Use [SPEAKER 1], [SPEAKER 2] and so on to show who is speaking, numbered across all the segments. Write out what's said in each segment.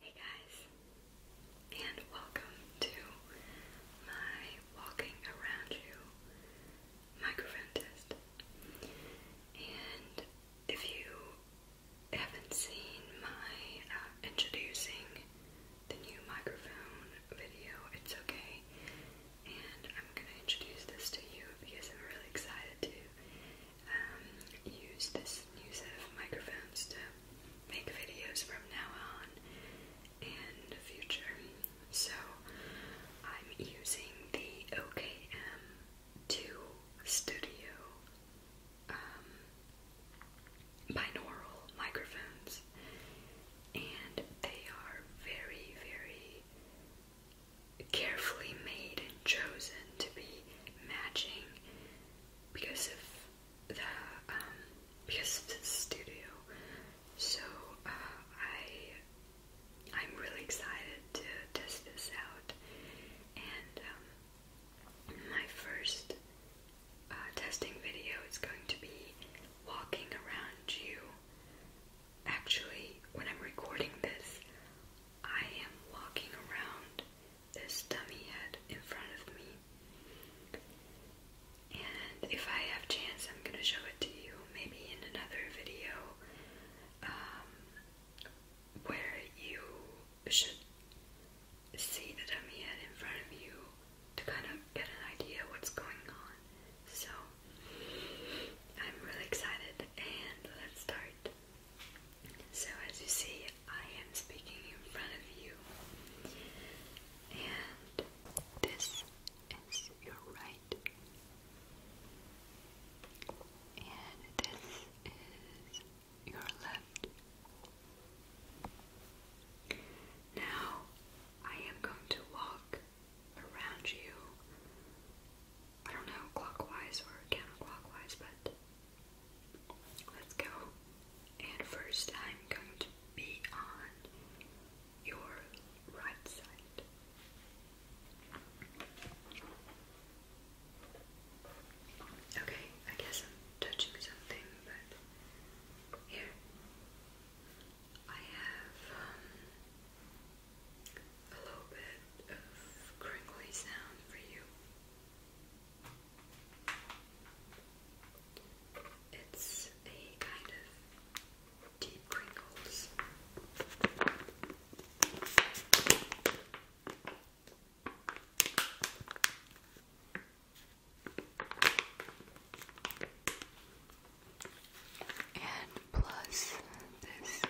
[SPEAKER 1] Hey guys, and welcome to my walking around you microphone And if you haven't seen my uh, introducing the new microphone video, it's okay. And I'm gonna introduce this to you because I'm really excited to um, use this new set microphones to make videos from now on and future. So I'm using the OKM2 Studio um, binaural microphones, and they are very, very carefully made and chosen to be matching because of the um, because of the studio. So uh, I I'm really excited to test this out, and um, my first uh, testing video is going to be walking around you. Actually, when I'm recording this, I am walking around this dummy head in front of me. And if I have chance, I'm gonna show it to you maybe in another video um, where you should see the dummy head in front of you to kind of get an idea what's going on. So I'm really excited and let's start. So, as you see, I am speaking in front of you, and this is your right, and this is your left. Now, I am going to walk around you. I don't know, clockwise or counterclockwise, but let's go. And first, I'm going to be on your right side. Okay, I guess I'm touching something, but here I have um, a little bit of crinkly sound for you. It's a kind of deep crinkles and plus this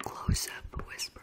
[SPEAKER 1] close up whispering.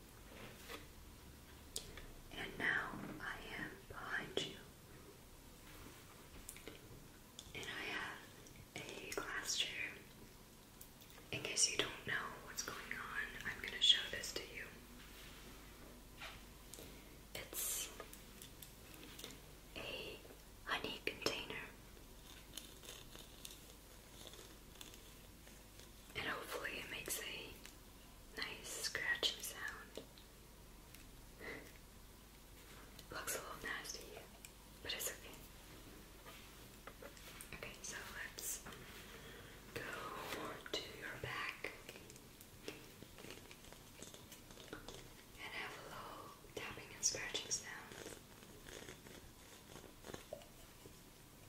[SPEAKER 1] And now I am behind you. And I have a glass chair. In case you don't know what's going on, I'm going to show this to you. It's a honey container and hopefully it makes a nice scratching sound. Looks a little nasty, but it's okay. Okay, so let's go to your back and have a little tapping and scratching sound.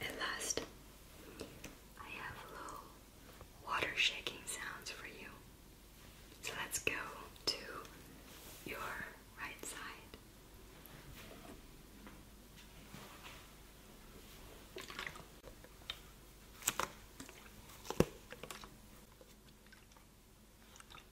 [SPEAKER 1] And last, I have little water shaking sounds for you. So let's go to your right side.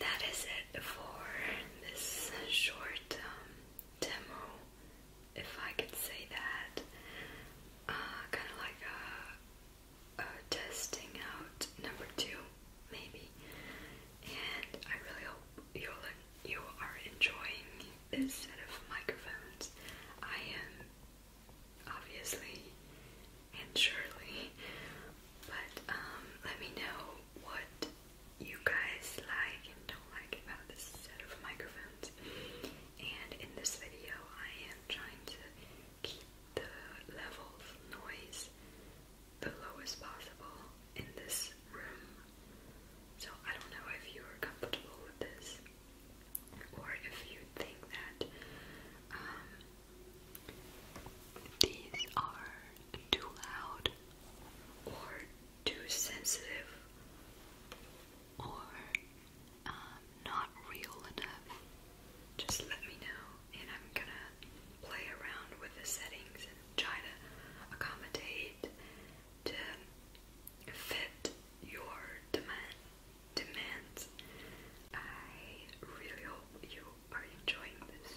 [SPEAKER 1] that is it for this short um, demo, if I could say that. Uh, kind of like testing out number two, maybe. And I really hope you'll, you are enjoying this set of microphones. I am obviously and surely. But um, let me know what you guys like and don't like about this set of microphones. And in this video, I am trying to keep the level of noise the lowest possible in this room. So I don't know if you are comfortable with this or if you think that um, these are too loud or too sensitive or um, not real enough, just let me know and I'm gonna play around with the settings and try to accommodate to fit your demand demands. I really hope you are enjoying this.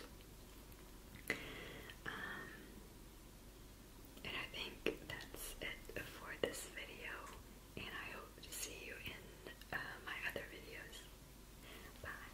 [SPEAKER 1] Um, and I think that's it for this video, and I hope to see you in uh, my other videos. Bye!